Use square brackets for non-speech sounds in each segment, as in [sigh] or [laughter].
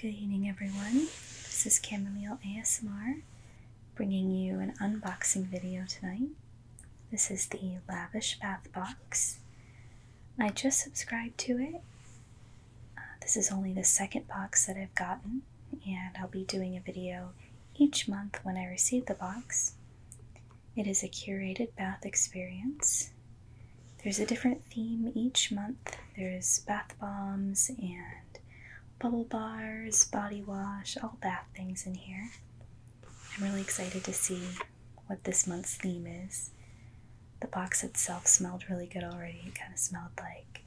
Good evening, everyone. This is Chamomile ASMR bringing you an unboxing video tonight. This is the Lavish Bath Box. I just subscribed to it. Uh, this is only the second box that I've gotten and I'll be doing a video each month when I receive the box. It is a curated bath experience. There's a different theme each month. There's bath bombs and bubble bars, body wash, all bath things in here. I'm really excited to see what this month's theme is. The box itself smelled really good already. It kind of smelled like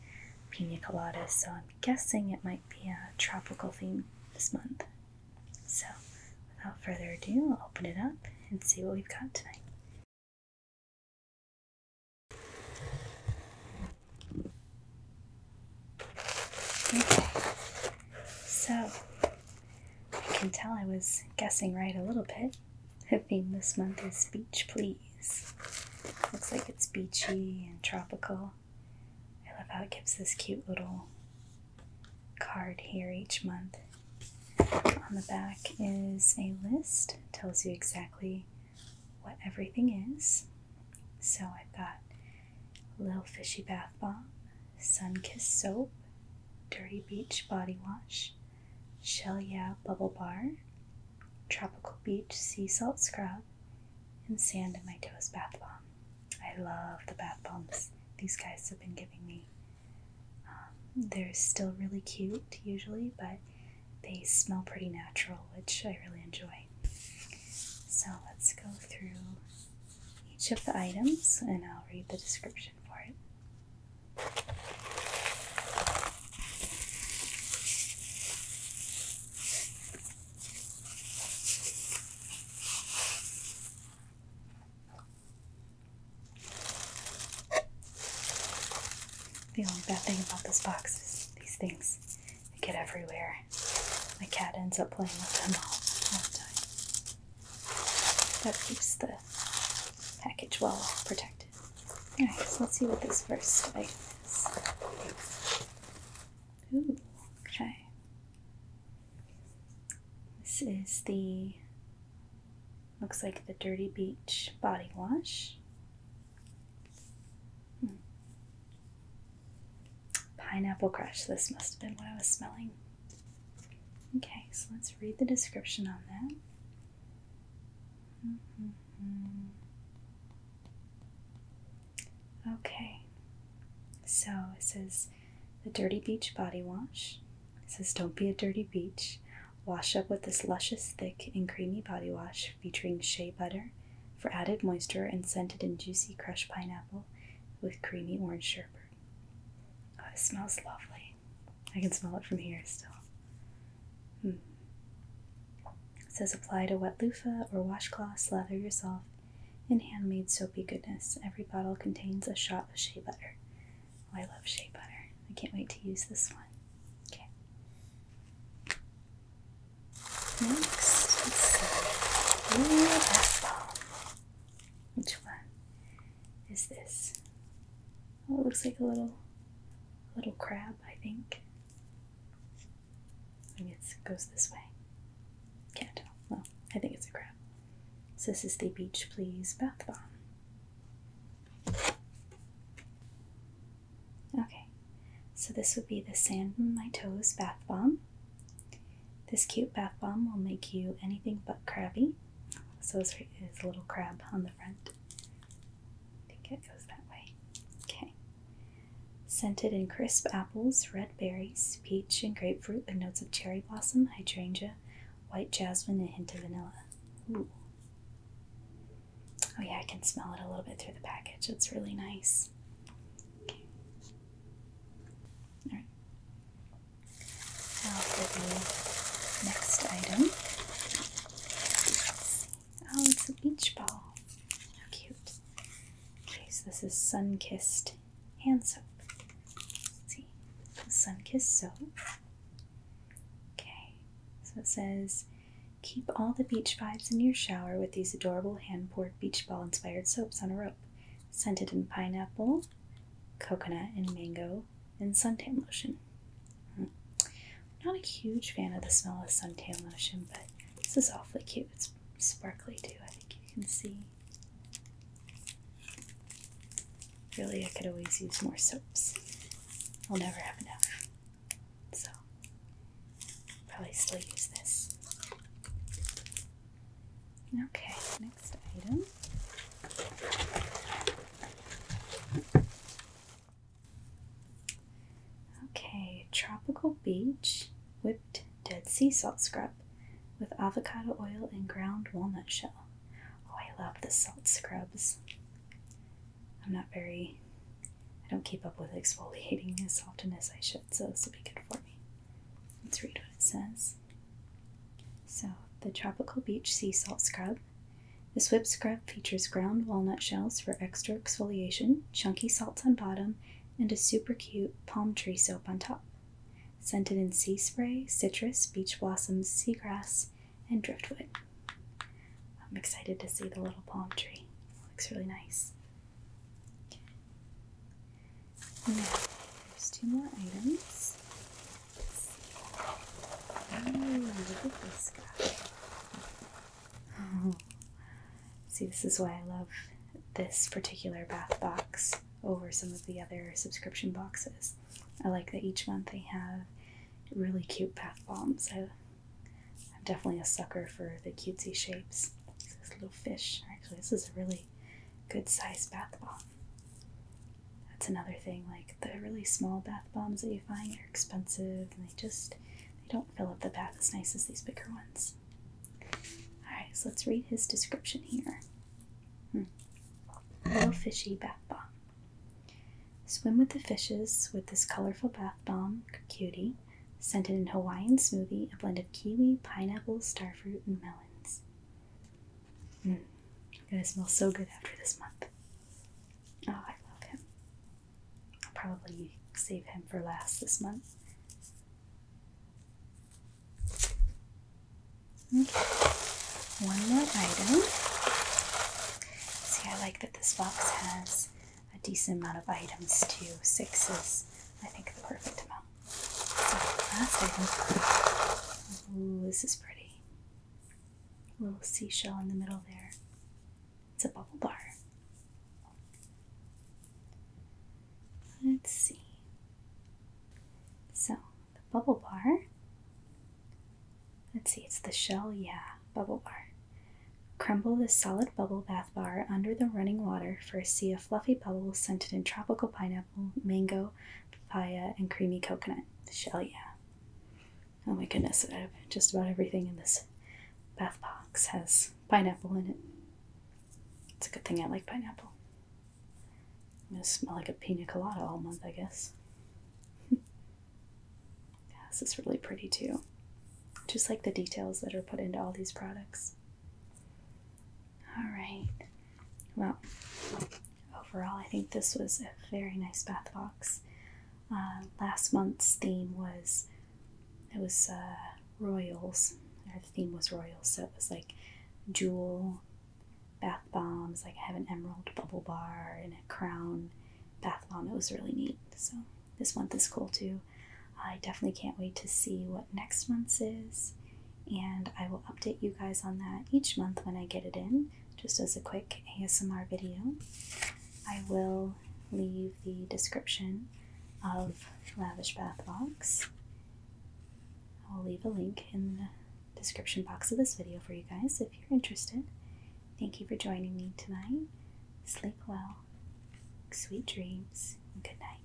pina coladas, so guessing it might be a tropical theme this month. So, without further ado, I'll open it up and see what we've got tonight. Okay, so I can tell I was guessing right a little bit. The [laughs] theme this month is Beach Please Looks like it's beachy and tropical. I love how it gives this cute little card here each month. On the back is a list, tells you exactly what everything is. So I've got Little Fishy Bath Bomb, Sun kissed Soap, Dirty Beach Body Wash, Shell Yeah Bubble Bar, tropical beach sea salt scrub, and sand in my toes bath bomb. I love the bath bombs these guys have been giving me. Um, they're still really cute usually, but they smell pretty natural, which I really enjoy. So let's go through each of the items and I'll read the description for it. The only bad thing about this box is these things they get everywhere. My cat ends up playing with them all the time. That keeps the package well protected. Alright, so let's see what this first item is. okay. This is the looks like the Dirty Beach body wash. Hmm. Pineapple Crush. This must have been what I was smelling. Okay, so let's read the description on that. Mm -hmm. Okay, so it says the Dirty Beach Body Wash. says, Don't be a dirty beach. Wash up with this luscious, thick, and creamy body wash featuring shea butter for added moisture and scented and juicy crushed pineapple with creamy orange sherbet. Oh, it smells lovely. I can smell it from here still. Hmm. It says apply to wet loofah or washcloth, slather yourself in handmade soapy goodness. Every bottle contains a shot of shea butter. Oh, I love shea butter. I can't wait to use this one. Okay. Next, let's see. Which one is this? Oh, it looks like a little, little crab, I think. I guess it goes this way. Can't tell. Well, I think it's a crab. So this is the Beach Please Bath Bomb. Okay, so this would be the Sand My Toes Bath Bomb. This cute bath bomb will make you anything but crabby. So this is a little crab on the front. I think it goes that way. Okay. Scented in crisp apples, red berries, peach and grapefruit with notes of cherry blossom, hydrangea, white jasmine, and hint of vanilla. Ooh. Oh, yeah, I can smell it a little bit through the package. It's really nice. Okay. All right. Now for the next item. Oh, it's a beach ball. How cute. Okay, so this is sun kissed hand soap. Let's see. Sun kissed soap. Okay, so it says keep all the beach vibes in your shower with these adorable hand poured beach ball inspired soaps on a rope, scented in pineapple, coconut, and mango, and suntan lotion. I'm not a huge fan of the smell of suntan lotion, but this is awfully cute. It's sparkly too, I think you can see. Really, I could always use more soaps. I'll never have enough. So, probably still use this. Okay, next item. Okay, tropical beach whipped dead sea salt scrub with avocado oil and ground walnut shell. Oh, I love the salt scrubs. I'm not very, I don't keep up with exfoliating [laughs] as often as I should, so this will be good for me. Let's read what it says. So, the tropical beach sea salt scrub this whip scrub features ground walnut shells for extra exfoliation, chunky salts on bottom, and a super cute palm tree soap on top. Scented in sea spray, citrus, beach blossoms, seagrass, and driftwood. I'm excited to see the little palm tree. looks really nice. there's two more items. Oh, look at this guy. Oh. See, this is why I love this particular bath box over some of the other subscription boxes. I like that each month they have really cute bath bombs. I, I'm definitely a sucker for the cutesy shapes. This little fish. Actually, this is a really good size bath bomb. That's another thing, like the really small bath bombs that you find are expensive and they just they don't fill up the bath as nice as these bigger ones. Alright, so let's read his description here. Hmm. Little fishy bath bomb. Swim with the fishes with this colorful bath bomb, cutie, scented in Hawaiian smoothie, a blend of kiwi, pineapple, starfruit, and melons. Hmm. It's gonna smell so good after this month. Oh, I love him. I'll probably save him for last this month. Okay. One more item. See, I like that this box has a decent amount of items too. Six is, I think, the perfect amount. So, last item. Ooh, this is pretty little seashell in the middle there. It's a bubble bar. Let's see. So, the bubble bar. Let's see, it's the shell, yeah, bubble bar. Crumble this solid bubble bath bar under the running water for a sea of fluffy bubbles scented in tropical pineapple, mango, papaya, and creamy coconut. Shell, yeah. Oh my goodness, just about everything in this bath box has pineapple in it. It's a good thing I like pineapple. I'm gonna smell like a pina colada all month, I guess. [laughs] yeah, this is really pretty too. Just like the details that are put into all these products. All right. Well, overall, I think this was a very nice bath box. Uh, last month's theme was it was uh, royals. Or the theme was royals, so it was like jewel bath bombs. Like I have an emerald bubble bar and a crown bath bomb. It was really neat. So this month is cool too. I definitely can't wait to see what next month's is, and I will update you guys on that each month when I get it in just as a quick ASMR video. I will leave the description of Lavish Bath Box. I'll leave a link in the description box of this video for you guys if you're interested. Thank you for joining me tonight. Sleep well, sweet dreams, and good night.